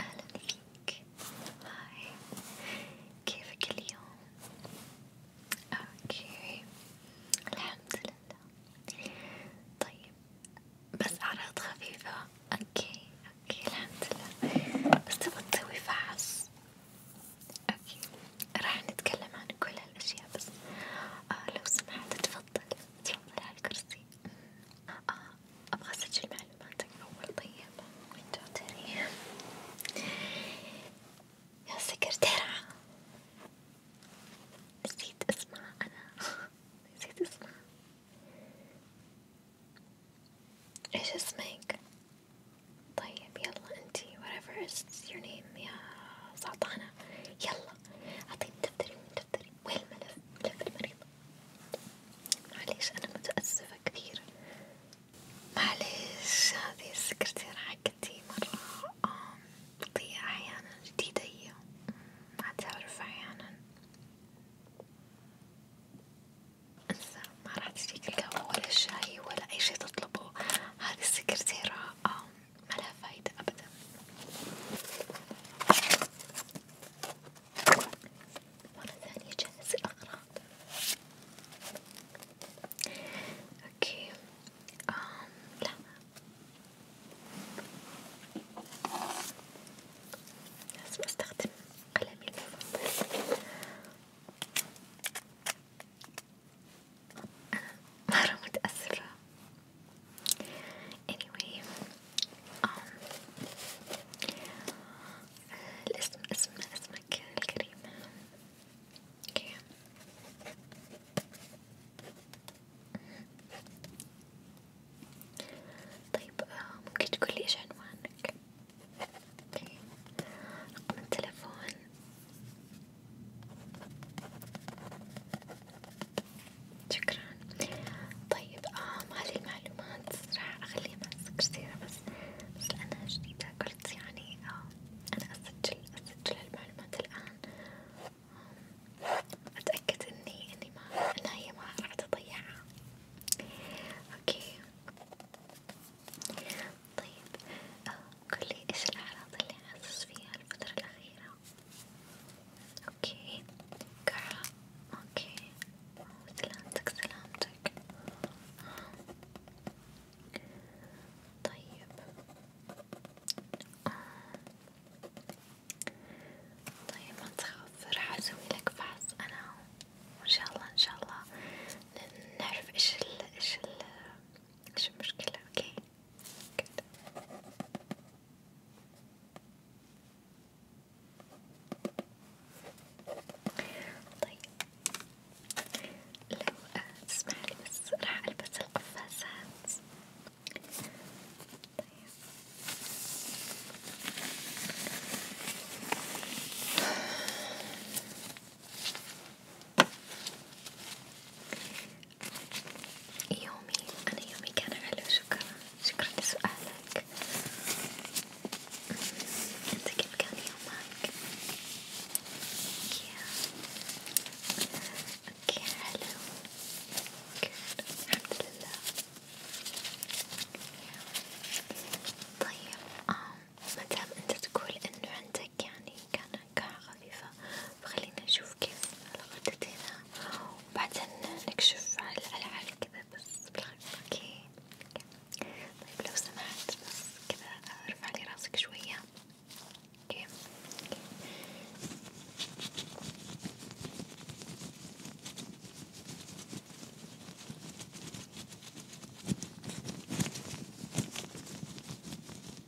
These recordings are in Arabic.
أهلا فيك هاي كيفك اليوم؟ اوكي الحمد لله طيب بس أعراض خفيفة اوكي اوكي الحمد لله بس تبغى تسوي فحص اوكي راح نتكلم عن كل هالاشياء بس آه لو سمحت تفضل تفضل على آه أبغى أسجل معلوماتك أول طيب وانتو تري يا سكرتيرة نسيت اسمها أنا نسيت اسمها ايش اسمك؟ طيب يلا انتي whatever is your name يا سلطانة يلا أعطيني دفتري ودفتري وين الملف؟ ملف المريضة معليش أنا متأسفة كثير معليش هذه السكرتيرة حقتي مرة بتضيع أحيانا جديدة هي ما تعرف أحيانا انسى ما راح تجيك القهوة ولا الشاي ولا أي شي تطلبه هذه السكرتيرة ما لها فايدة أبدا مرة ثانية جهز الأغراض اوكي آم لا لازم استخدم قلمي المفضل مرة متأثرة anyway um, الاسم اسم اسمك الكريم اوكي okay. طيب آه، ممكن تقولي ايش عنوانك؟ اوكي okay. رقم التلفون شكرا طيب آم هذه المعلومات راح أخليها مع السكرتيرة بس بس لأنها جديدة قلت يعني آم أنا أسجل أسجل المعلومات الآن أتأكد إني إني ما إنها هي ما راح تضيعها أوكي طيب قولي إيش الأعراض اللي حاسس فيها الفترة الأخيرة؟ أوكي كعرة أوكي سلامتك سلامتك طيب طيب ما تخاف راح أسوي لك فحص أنا وإن شاء الله إن شاء الله نعرف إيش ال إيش ال إيش المشكلة أوكي Good. طيب لو تسمح لي بس راح ألبس القفازات طيب يومي أنا يومي كان حلو شكرا شكرا لسؤالك أنت كيف كان يومك؟ يا أوكي حلو الحمد لله طيب آه مادام أنت تقول إنه عندك يعني كان نكهة خفيفة فخلينا نشوف كيف الغدت هنا وبعدين نكشف على العلى كذا بس بالخفيف اوكي طيب لو سمحت بس كذا ارفع لي راسك شوية اوكي, أوكي.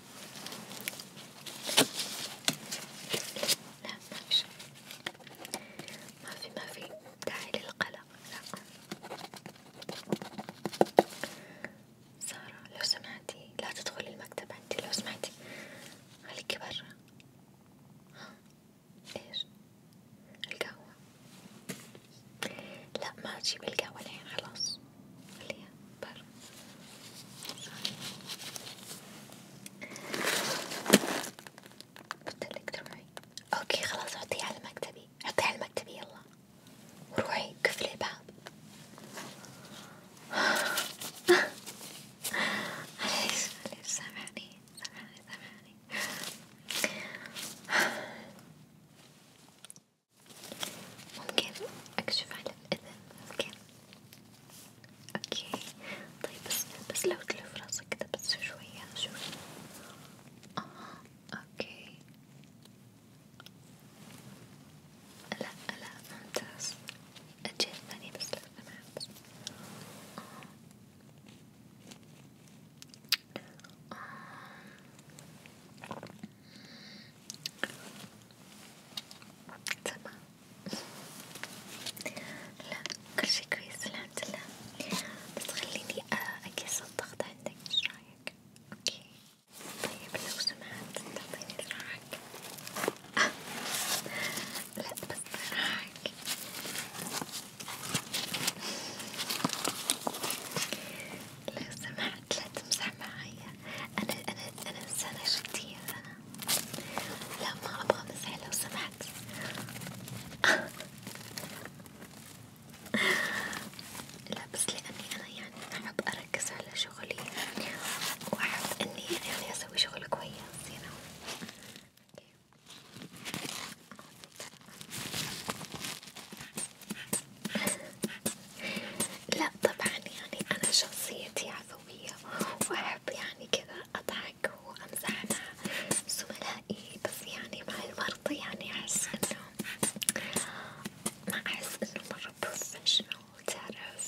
لا ما في شي ما في ما في داعي للقلق لا سارة لو سمعتي لا تدخلي المكتب عندي لو سمعتي خليكي برا ها ايش القهوة لا ما تجيب القهوة الحين خلاص خليها برا قلت لك تروحي اوكي خلاص حطيه على مكتبي حطيه على مكتبي يلا وروحي قفلي الباب معليش معليش سامحني سامحني سامحني ممكن اكشف على الاذن ممكن اوكي طيب بس بس لو تلف راسك كده بس شوية شوية اه اوكي لا لا ممتاز الجهة الثانية بس لو سمحت آه. تمام لا كل شي كويس الحمد لله بس خليني أقيس آه، الضغط عندك ايش رايك؟ اوكي طيب لو سمحت تعطيني ذراعك آه. لا بس ذراعك لو سمحت لا تمزح معايا أنا أنا أنا إنسانة جدية أنا لا ما أبغى مسح لو سمحت لا بس لأني أنا يعني أحب أركز على شغلي وأحب إني يعني أسوي شغل كويس you know. لا طبعا يعني أنا شخصيتي عفوا أسويها وأحب يعني كذا أضحك وأمزح مع زملائي إيه، بس يعني مع المرض يعني أحس إنه ما أحس إنه مرة بروفيشنال تعرف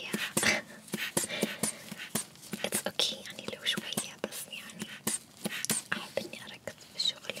yeah it's okay يعني لو شوية بس يعني أحب إني أركز في شغلي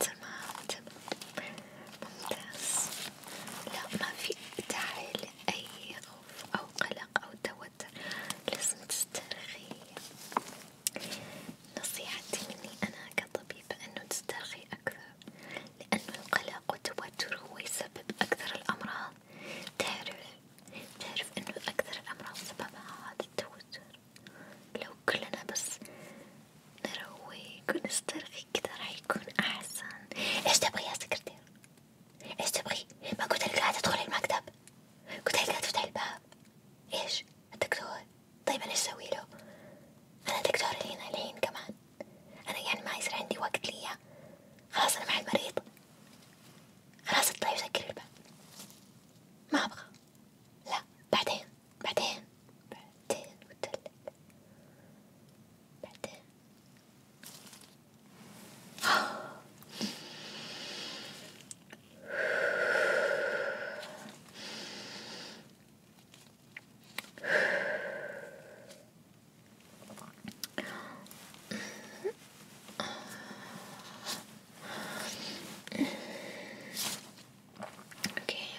تمام تمام ممتاز لا ما في داعي لأي خوف أو قلق أو توتر لازم تسترخي نصيحتي مني أنا كطبيبة إنه تسترخي أكثر، لأنه القلق والتوتر هو يسبب أكثر الأمراض، تعرف تعرف إنه أكثر الأمراض سببها هذا التوتر، لو كلنا بس نروق ونسترخي كذا راح يكون أحسن، إيش تبغي يا سكرتير؟ إيش تبغي؟ ما قلتلك لا تدخلي المكتب، قلتلك لا تفتحي الباب، إيش؟ الدكتور طيب أنا أسوي له؟ أنا دكتور لينا الحين كمان أنا يعني ما يصير عندي وقت ليا خلاص أنا مع المريض خلاص اطلعي وسكري الباب ما أبغى لا بعدين بعدين بعدين بتدلك بعدين اوكي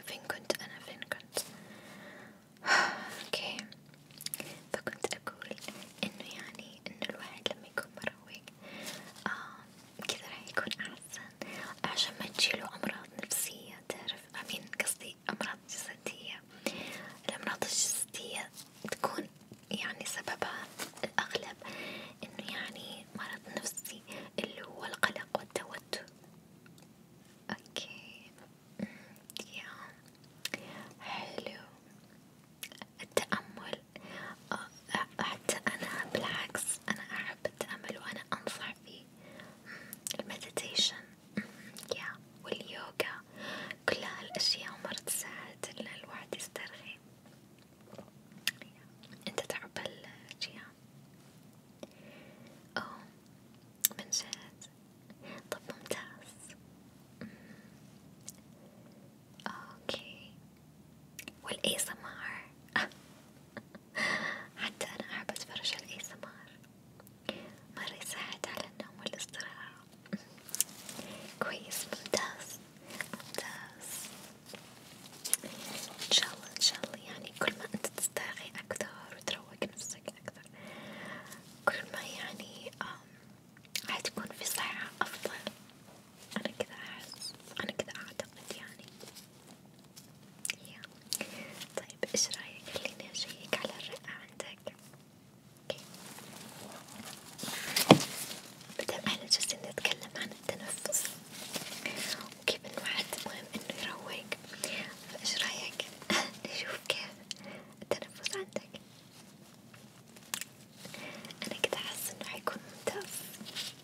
فين كنت انا فين كنت اوكي فكنت اقول انه يعني انه الواحد لما يكون مروق كذا رح يكون أحسن عشان ما تجيله أمراض نفسية تعرف أمين قصدي أمراض جسدية الأمراض الجسدية تكون يعني سببها الأغلب إنه يعني مرض نفسي اللي هو القلق والتوتر أوكي يا حلو التأمل آه، حتى أنا بالعكس أنا أحب التأمل وأنا أنصح فيه المديتيشن يا واليوغا كل هالأشياء مرة تساعد الواحد يسترخي أنت تعب هالأشياء أوه من جد طب ممتاز أوكي والاي سمار حتى أنا أحب أتفرج على الاي سمار مرة يساعد على النوم والاستراحة كويس ممتاز ممتاز إن شاء الله إن شاء الله يعني كل ما أنت تسترخي أكثر وتروق نفسك أكثر كل ما يعني حتكون في صحة أفضل أنا كذا أحس أنا كذا أعتقد يعني yeah. طيب إيش رأيك خليني أشيك على الرئة عندك okay. بدأ على جالسين نتكلم عن التنفس وكيف إنه حتى مهم إنه يروق فإيش رأيك نشوف كيف التنفس عندك أنا كده حاسة إنه حيكون ممتاز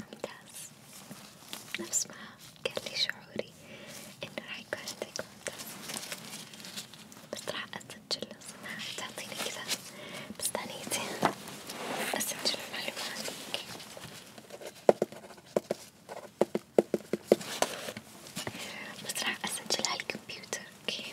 ممتاز نفس ما قال لي شعوري إنه راح يكون عندك ممتاز بس راح أسجل صناعة تعطيني كذا بس ثانيتين أسجل المعلومات بس راح أسجل على الكمبيوتر اوكي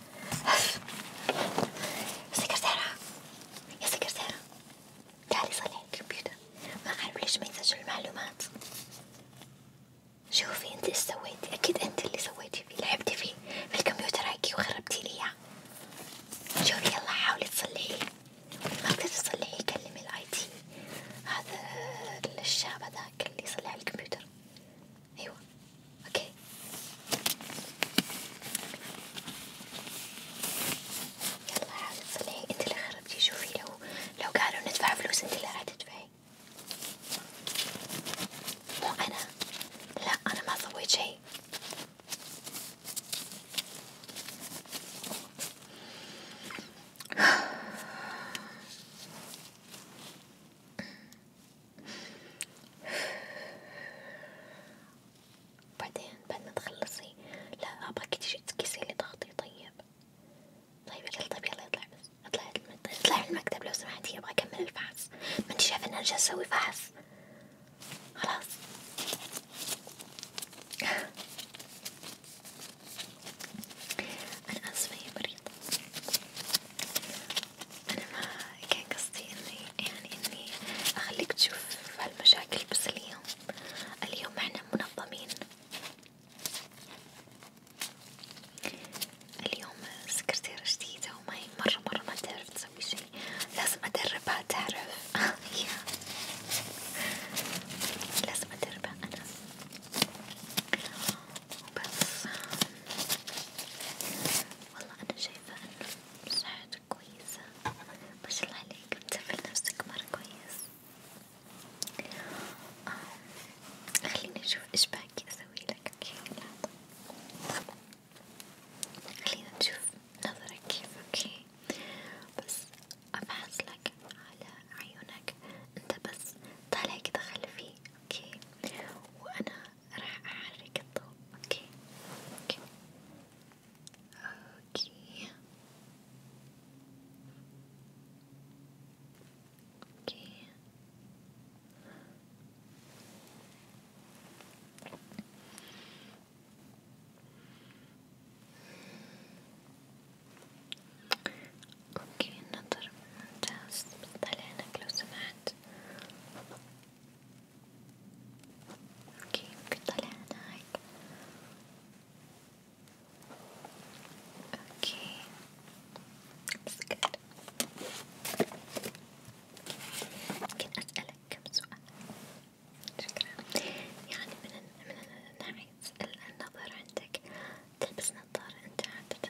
يا سكرتيرة يا سكرتيرة تعالي صلي الكمبيوتر ما عارفة ليش ما يسجل المعلومات شوفي انت ايش سويتي اكيد انت اللي سويتي فيه لعبتي فيه في الكمبيوتر هيكي وخربتي لي اياه شوفي يلا حاولي تصلحيه ما تقدري تصلحيه كلمي الاي تي هذا الشاب هذاك اللي يصلح الكمبيوتر ايوه اوكي يلا حاولي تصلحي انت اللي خربتي شوفي لو لو قالوا ندفع فلوس انت اللي راح تدفعي مو انا لا انا ما سويت شيء بعدين بعد ما تخلصي لا ابغاك تجي تكسي لي ضغطي طيب طيب قلت طيب يلا اطلع بس اطلع اطلع من المكتب لو سمحتي ابغى اكمل الفحص ما انت شايفه ان انا جالسه اسوي فحص خلاص انا اسفه يا مريض أنا ما كان قصدي إني يعني إني أخليك تشوف هالمشاكل بس اليوم، اليوم إحنا منظمين، اليوم سكرتيرة جديدة وما هي مرة مرة ما تعرف تسوي شي، لازم أدربها تعرف، لازم أدربها أنا. وبس والله أنا شايفة إنه صحتك كويسة ما شاء الله عليك بتسافر نفسك مرة كويس آه. خليني أشوف إيش باقي أسوي لك أوكي خلينا نشوف نظرك كيف أوكي بس أبحث لك على عيونك أنت بس طالع كده خلفي أوكي وأنا راح أحرك الضوء اوكي اوكي اوكي اوكي اوكي النظر ممتاز بس لو سمحت اوكي ممكن طلع هناك اوكي مسكر ممكن اسألك كم سؤال شكرا يعني من من ناحية النظر عندك تلبس نظارة انت عادة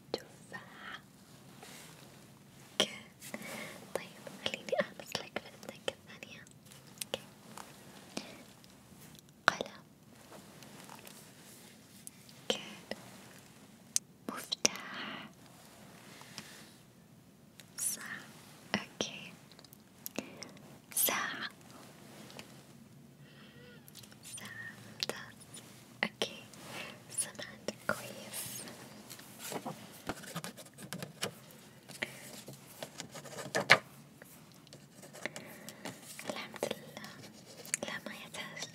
تفاحة اوكي طيب خليني ألمس لك في أذنك الثانية اوكي قلم اوكي مفتاح صح اوكي ساعة ممتاز اوكي سمعت كويس الحمد لله لا ما يحتاج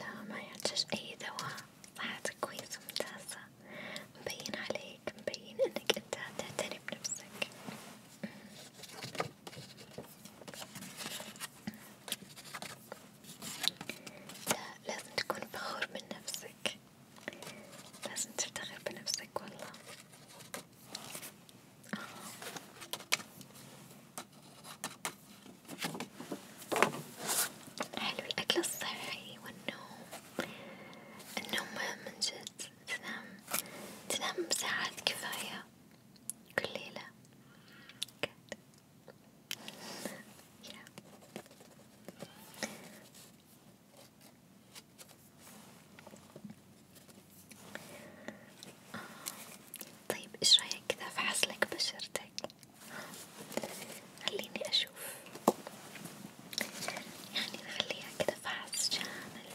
لا ما يحتاج اي دواء صحتك كويسة ممتازة مبين عليك مبين انك انت تعتني بنفسك لا لازم تكون فخور من نفسك لازم تفتخر بنفسك والله آه. حلو الأكل الصحي والنوم النوم من جد تنام تنام ساعات كفاية كل ليلة Good. yeah. طيب ايش رايك كذا فحصلك بشرتك خليني اشوف يعني نخليها كذا فحص شامل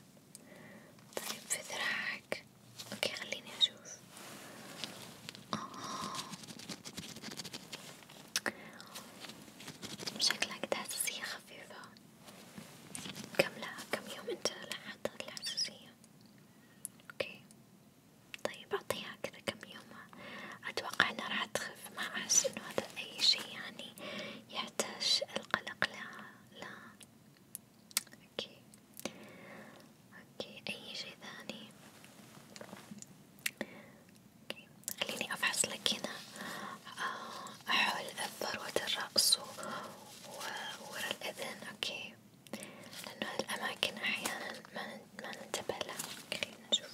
شوية طيب في ذراعك اوكي خليني اشوف آه. شكلك تحسسية خفيفة كم لها كم يوم انت لاحظت الحساسية اوكي طيب اعطيها كذا كم يوم اتوقع انها راح تخف ما احس انه هذا اي شي يعني يحتاج القلق لا لا اوكي اوكي اي شيء ثاني أوكي. خليني افحص لك هنا آه، حول الذروة الرأس وورا الاذن اوكي لانه هالاماكن احيانا ما ننتبه لها خلينا نشوف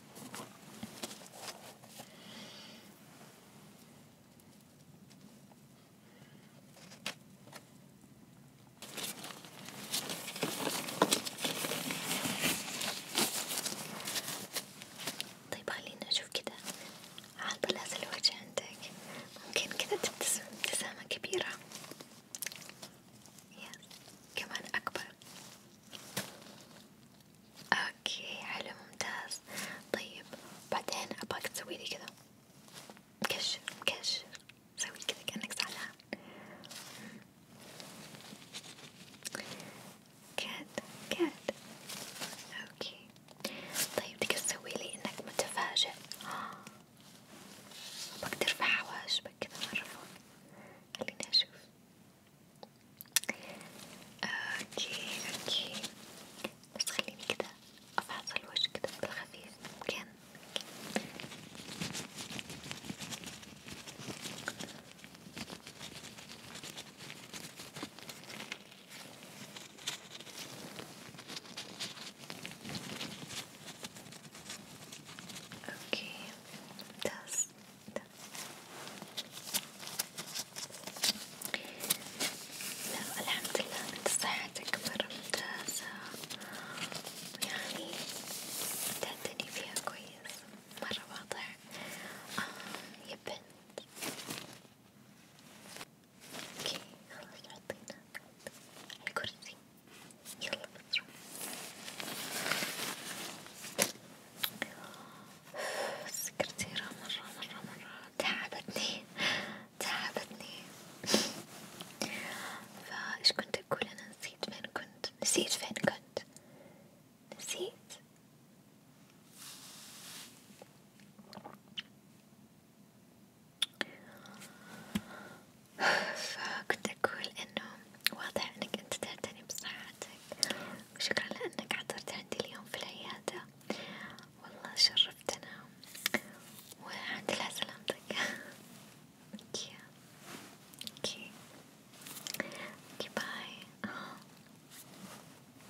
طيب خلينا أشوف كده على طلاس الوجه عندك ممكن كده تبتسم ابتسامة كبيرة يس كمان أكبر اوكي حلو ممتاز طيب بعدين ابغاك تسويلي كذا مكشر مكشر سوي كذا كأنك زعلان كات كات اوكي طيب بدك تسويلي انك متفاجئ بقدر ارفع حواشبك كذا مرة فوق خليني اشوف اوكي اوكي بس خليني كده افحص الوجه كده بالخفيف ممكن اوكي ممتاز لا الحمد لله انت صحتك مرة ممتازة يعني تعتني فيها كويس مرة واضح آه يا بنت اوكي خلاص حطيناك على الكرسي يلا السكرتيرة مرة مرة مرة تعبتني تعبتني فايش كنت أقول أنا نسيت فين كنت نسيت فين كنت نسيت فكنت أقول إنه واضح انك انت تعتني بصحتك وشكرا لانك عطرت عندي اليوم في العيادة والله شرفتنا وعند لا سلامتك اوكي اوكي اوكي باي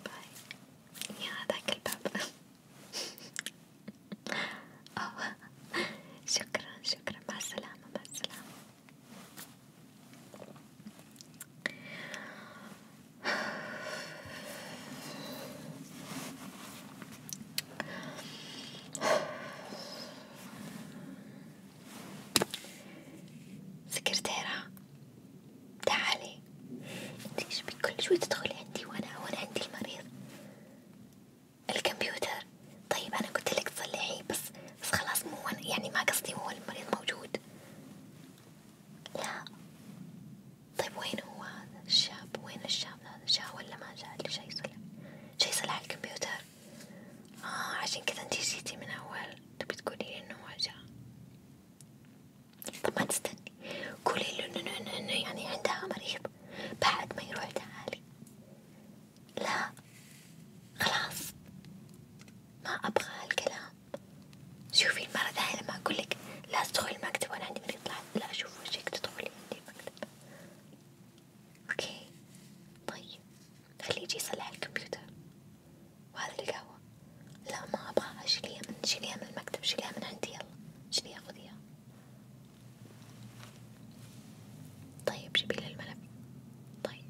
باي يا هذاك الباب اوه شكرا شكرا مع السلامة مع السلامة سكرتيرة تعالي انت كل شوي تدخلي عندي وانا وانا عندي المريض الكمبيوتر طيب أنا قلت لك تصلحي بس بس خلاص مو يعني ما قصدي هو المريض موجود لا طيب وين هو هذا الشاب وين الشاب هذا جاء ولا ما جاء اللي جاي يصلح جاي يصلح على الكمبيوتر آه عشان كذا انتي جيتي من أول تبي تقولي إنه ما جاء طب ما تستني قولي له إنه إنه يعني عندها مريض بعد ما يروح تعالي لا خلاص ما أبغى هالكلام شوفي المرة الثانية لما أقولك لا تدخلي المكتب وأنا عندي مريض لا أشوف وجهك تدخلي عندي المكتب أوكي طيب خليه يجي يصلح الكمبيوتر وهذا القهوة لا ما أبغاها شيليها من شيليها من المكتب شيليها من عندي يلا شيليها خذيها طيب جيبي لي الملف طيب